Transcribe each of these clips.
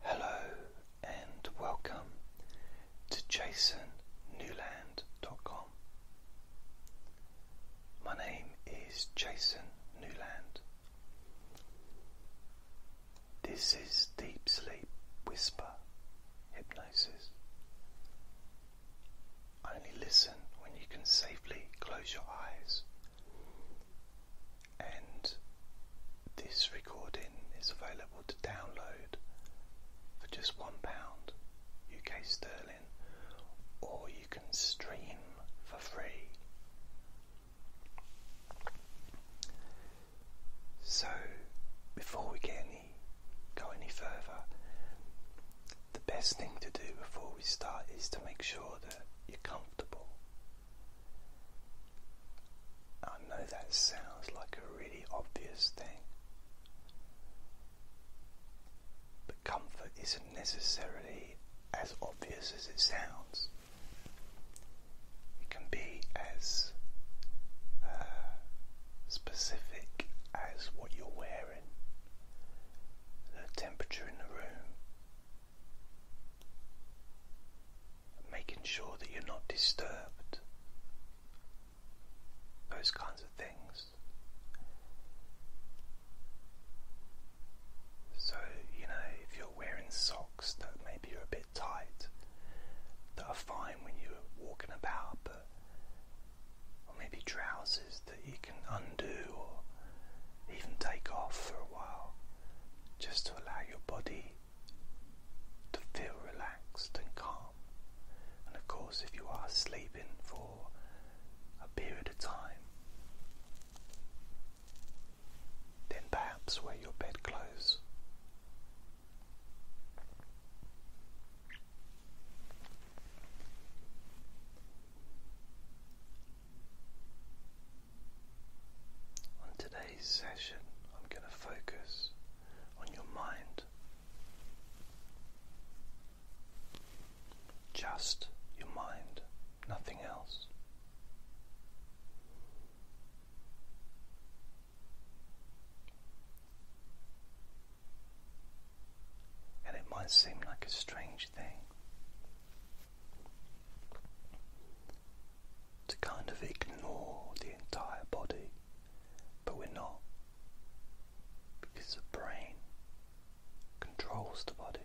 Hello and welcome to jasonnewland.com. My name is Jason Newland. This is Deep Sleep Whisper Hypnosis. Only listen when you can safely close your eyes and this recording is available to download for just one pound UK sterling, or you can stream for free. So, before we get any go any further, the best thing to do before we start is to make sure that you're comfortable. I know that sounds like a really obvious thing, but comfort isn't necessarily as obvious as it sounds. It can be as uh, specific as what you're wearing, the temperature in the room, making sure that you're not disturbed, those kinds of things. So, you know, if you're wearing socks that maybe are a bit tight, that are fine when you're walking about, but or maybe trousers that you can undo or even take off for a while, just to allow your body to feel relaxed and calm. And of course, if you are sleeping for a period of time, then perhaps wear your bed clothes. On today's session, I'm going to focus on your mind. Just your mind, nothing else. And it might seem like a strange thing, to kind of ignore the entire body, but we're not because the brain controls the body.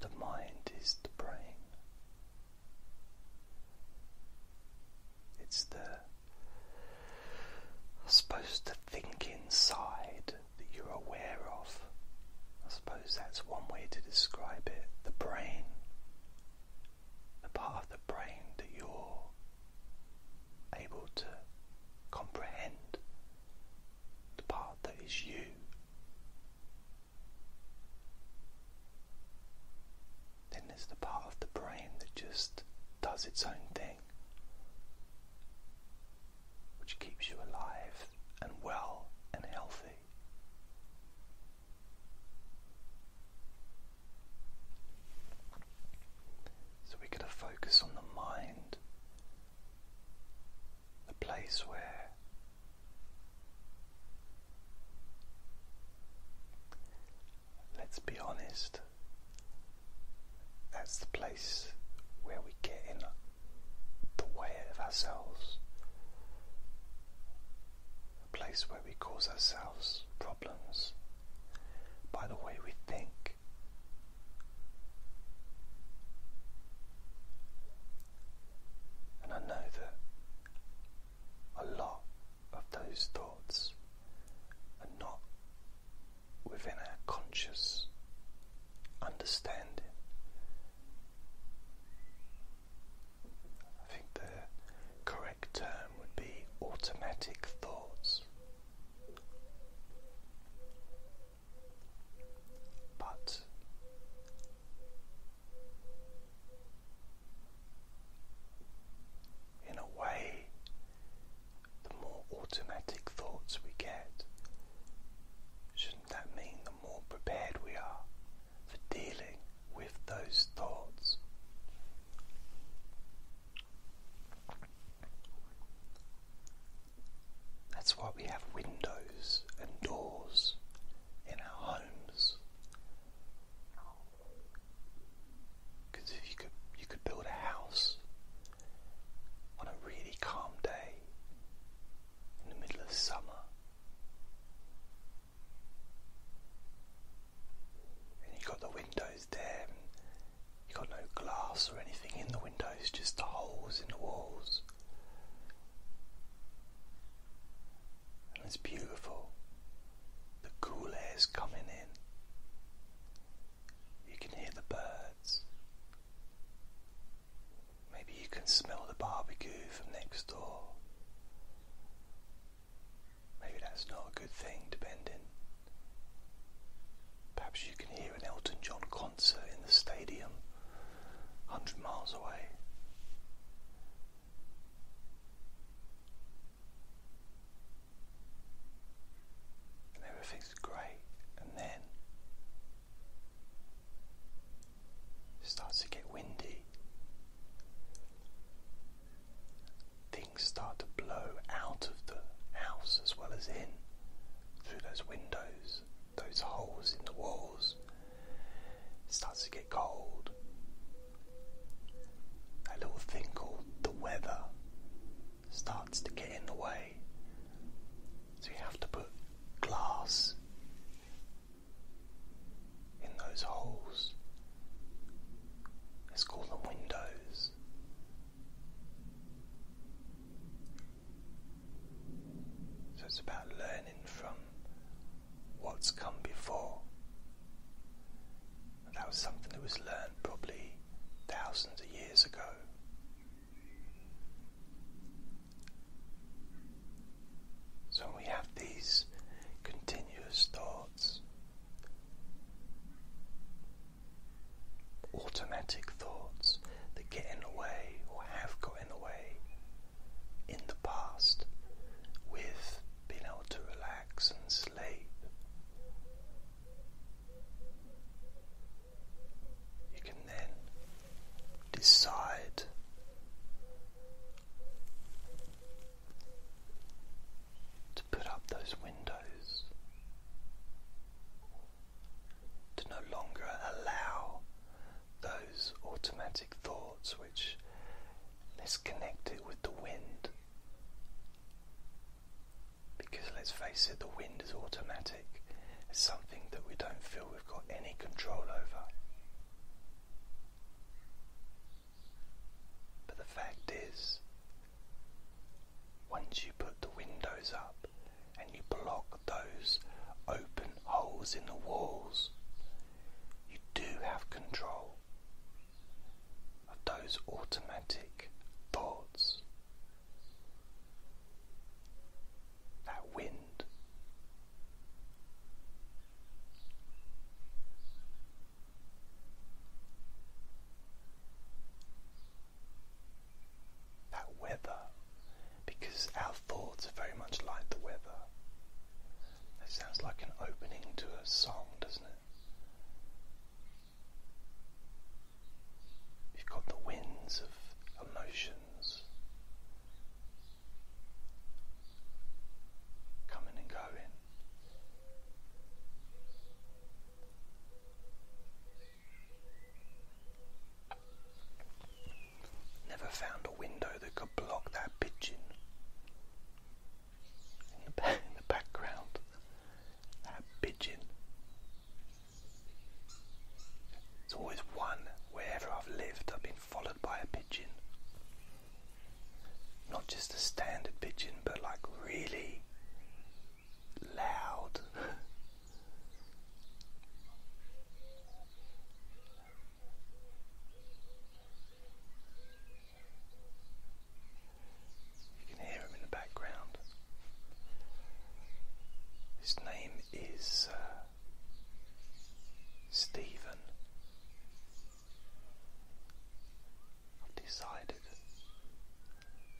The mind is the brain. It's the I suppose think inside that you're aware of. I suppose that's one way to describe it. The brain. The part of the brain that you're able to comprehend. The part that is you. Then there's the part of the brain that just does its own thing which keeps you alive and well and healthy. So we get a focus on the mind, the place where let's be honest, that's the place where we get in the way of ourselves, a place where we cause ourselves problems by the way we think. And I know that a lot of those thoughts are not within our conscious understanding. I think the correct term would be automatic thoughts. But in a way, the more automatic thoughts we get. Shouldn't that mean the more prepared we are for dealing with those thoughts? That's why we have windows and doors in our homes. Because if you could, you could build a house on a really calm day in the middle of summer, and you got the windows there. And you got no glass or anything in the windows, just the holes in the walls. And it's beautiful. The cool air is coming in. You can hear the birds. Maybe you can smell the barbecue from next door. Maybe that's not a good thing, depending. Perhaps you can hear an Elton John concert in the stadium, a 100 miles away and everything's great, and then starts to get windy. Things start to blow out of the house as well as in through those windows, those holes in the walls. It starts to get cold. That little thing called the weather starts to get in the way. So you have to put glass in those holes. Let's call them windows. So it's about learning from what's come before that was something that was learned probably thousands of years ago. So we have these continuous thoughts, automatic thoughts that get in the way or have got in the way in the past with being able to relax and sleep you can then decide to put up those windows, to no longer allow those automatic thoughts which disconnect it with the wind. Because let's face it, the wind is automatic, it's something that we don't feel we've got any control over. But the fact is, once you put the windows up and you block those open holes in the walls, you do have control of those automatic thoughts that wind. That weather, because our thoughts are very much like the weather. That sounds like an opening to a song, doesn't it? You've got the winds of emotions coming and going. Never found a window that could block that pigeon. In the, background, that pigeon there's always one wherever I've lived, I've been followed by a pigeon. Not just a standard pigeon, but like really loud. You can hear him in the background. His name is uh, Stephen. I've decided.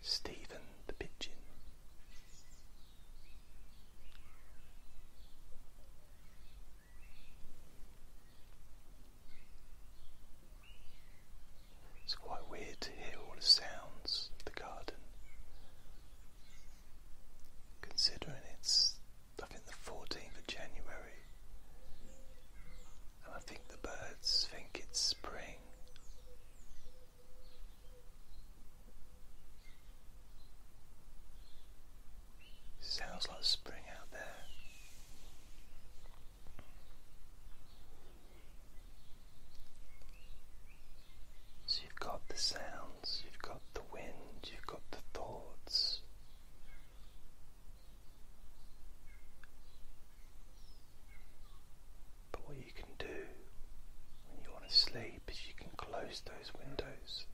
Stephen the Pigeon. It's quite weird to hear all the sounds of the garden. Considering it's, I think, the 14th of January, and I think the birds think it's spring. sounds like spring out there. So you've got the sounds, you've got the wind, you've got the thoughts. But what you can do when you want to sleep is you can close those windows.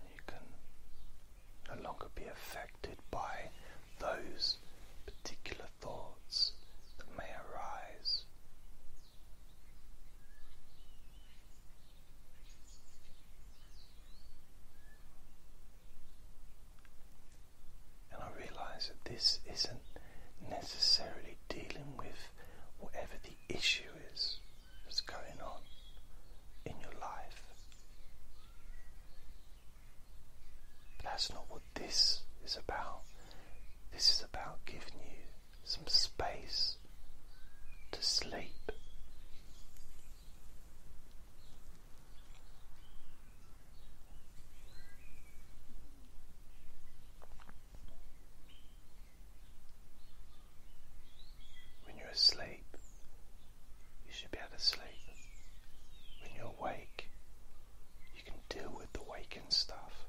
And you can no longer be affected by those particular thoughts that may arise. And I realize that this isn't necessarily dealing with whatever the issue is that's going on in your life. But that's not what this is about. This is about giving you some space to sleep. When you're asleep, you should be able to sleep. When you're awake, you can deal with the waking stuff.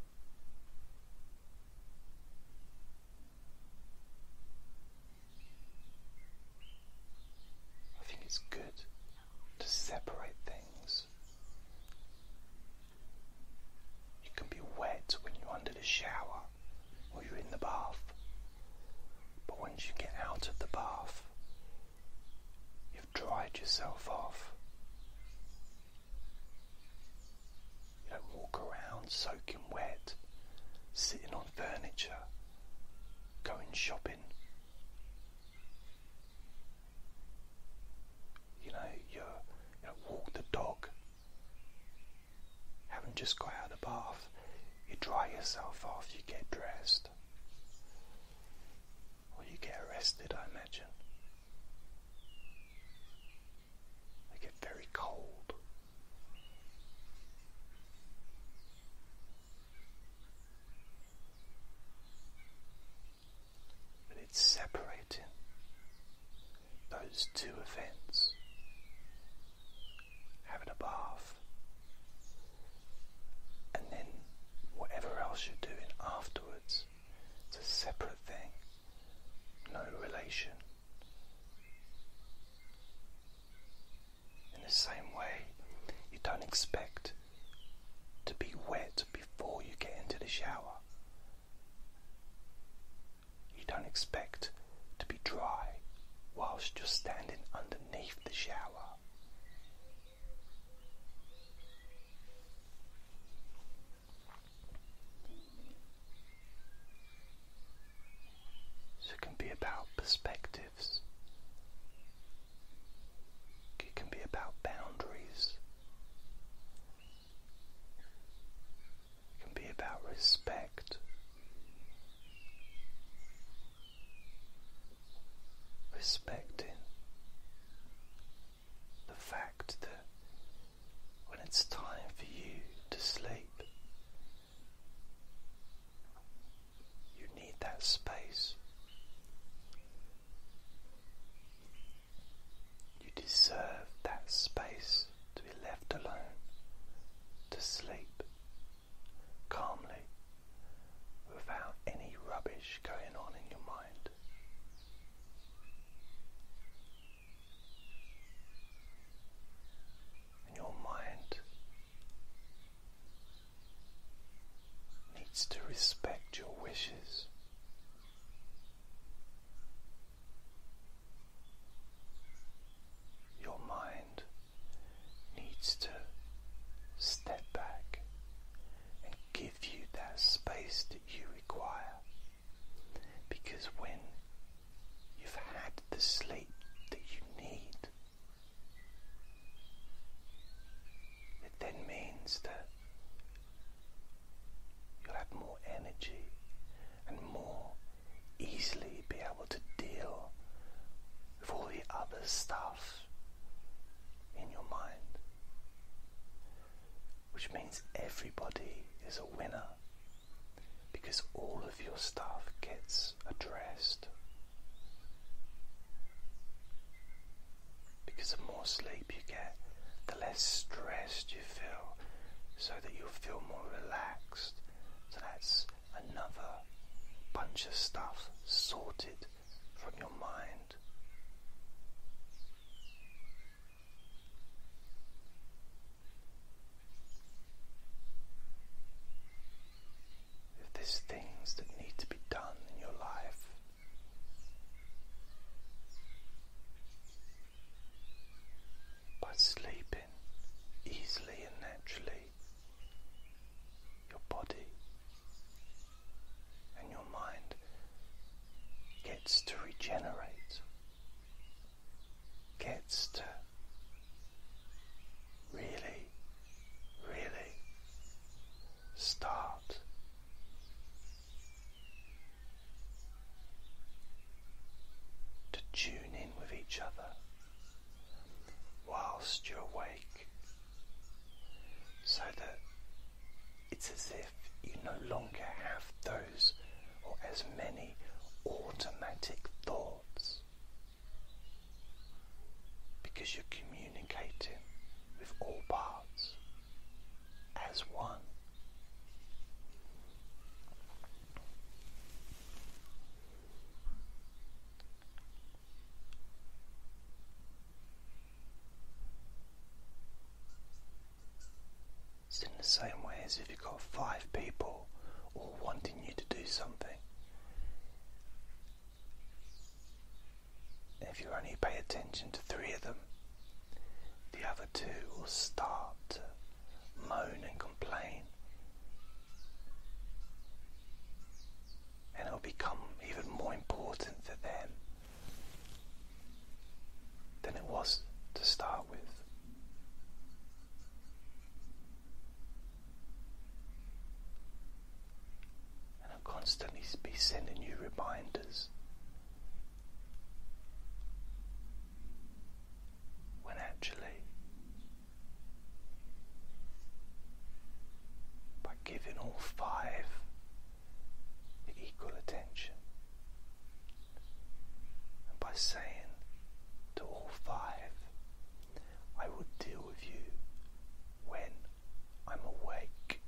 I think it's good to separate things. You can be wet when you're under the shower or you're in the bath. But once you get out of the bath, you've dried yourself off. You don't walk around soaking wet, sitting on furniture, going shopping. You know, you walk the dog Having just got out of the bath, you dry yourself off, you get dressed. Or you get arrested, I imagine. They get very cold. But it's separating those two events, having a bath, and then whatever else you're doing afterwards, it's a separate thing, no relation. In the same way, you don't expect to be wet before you get into the shower. You don't expect to be dry whilst you're standing underneath the shower. So it can be about perspectives. It can be about boundaries. It can be about respect. Respecting the fact that when it's time for you to sleep, you need that space. You deserve that space to be left alone to sleep calmly without any rubbish going on in your mind. And your mind needs to respect your wishes. Your mind needs to step back and give you that space that you require because when you've had the sleep that you need, it then means that You'll have more energy and more easily be able to deal with all the other stuff in your mind. Which means everybody is a winner because all of your stuff gets addressed. Because the more sleep you get, the less stressed you feel so that you feel more relaxed. So that's another bunch of stuff sorted from your mind. If there's things that need to be done in your life, by sleeping easily and naturally, your body and your mind gets to regenerate, gets to really, really start to tune in with each other whilst you're awake so that it's as if you no longer have those or as many automatic thoughts because you're communicating with all parts as one. It's in the same way as if you've got five people all wanting you to do something. If you only pay attention to three of them, the other two will start to moan and complain. And it'll become even more important to them than it was to start with. And I'll constantly be sending you reminders when actually, by giving all five equal attention, and by saying to all five, I will deal with you when I'm awake,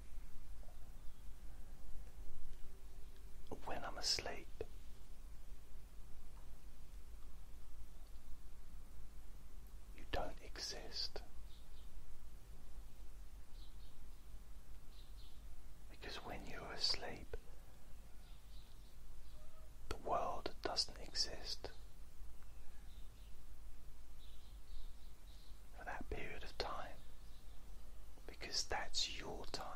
when I'm asleep. You don't exist. Because when you're asleep, the world doesn't exist. For that period of time, because that's your time.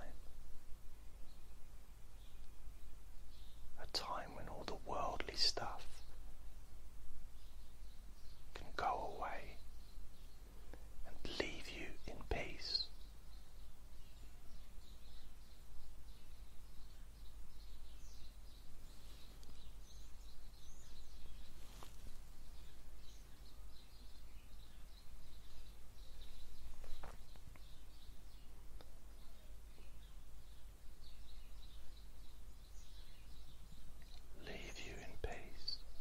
A time when all the worldly stuff can go away and leave you in peace leave you in peace. We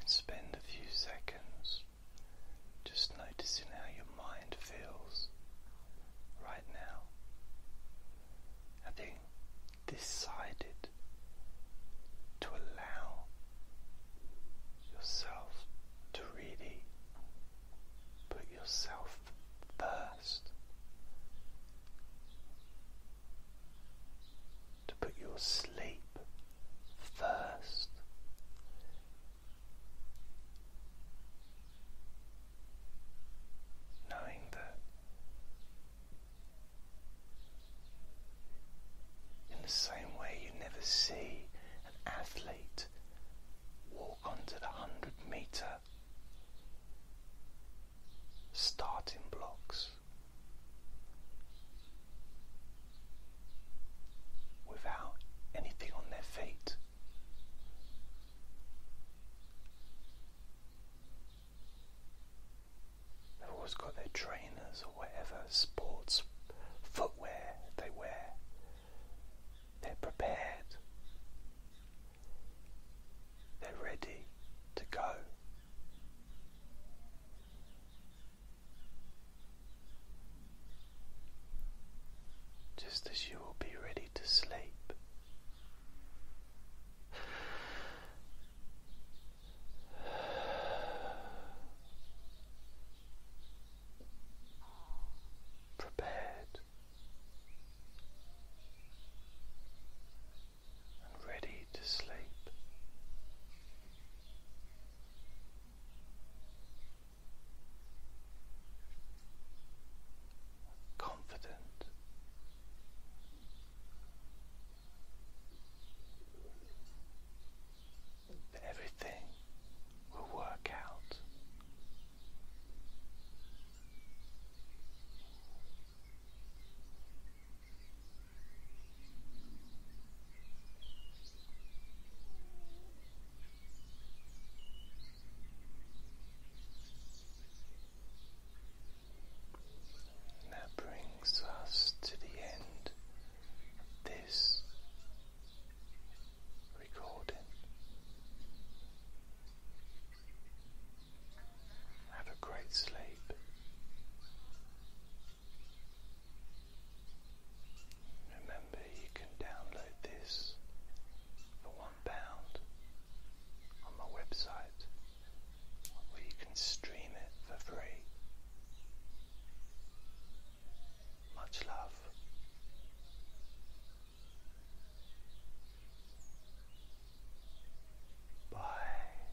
can spend a few seconds just noticing how your mind feels right now. I decided to allow yourself to really put yourself first, to put your sleep first. Knowing that in the same way you never see an athlete walk onto the hundred meter starting blocks, without anything on their feet. They've always got their trainers or whatever sports footwear they wear. They're prepared. They're ready to go just as you will be ready to sleep. Prepared and ready to sleep confident. That everything will work out that brings us to the end of this recording. Have a great sleep. Remember, you can download this for one pound on my website, or you can stream it for free. Much love. Bye.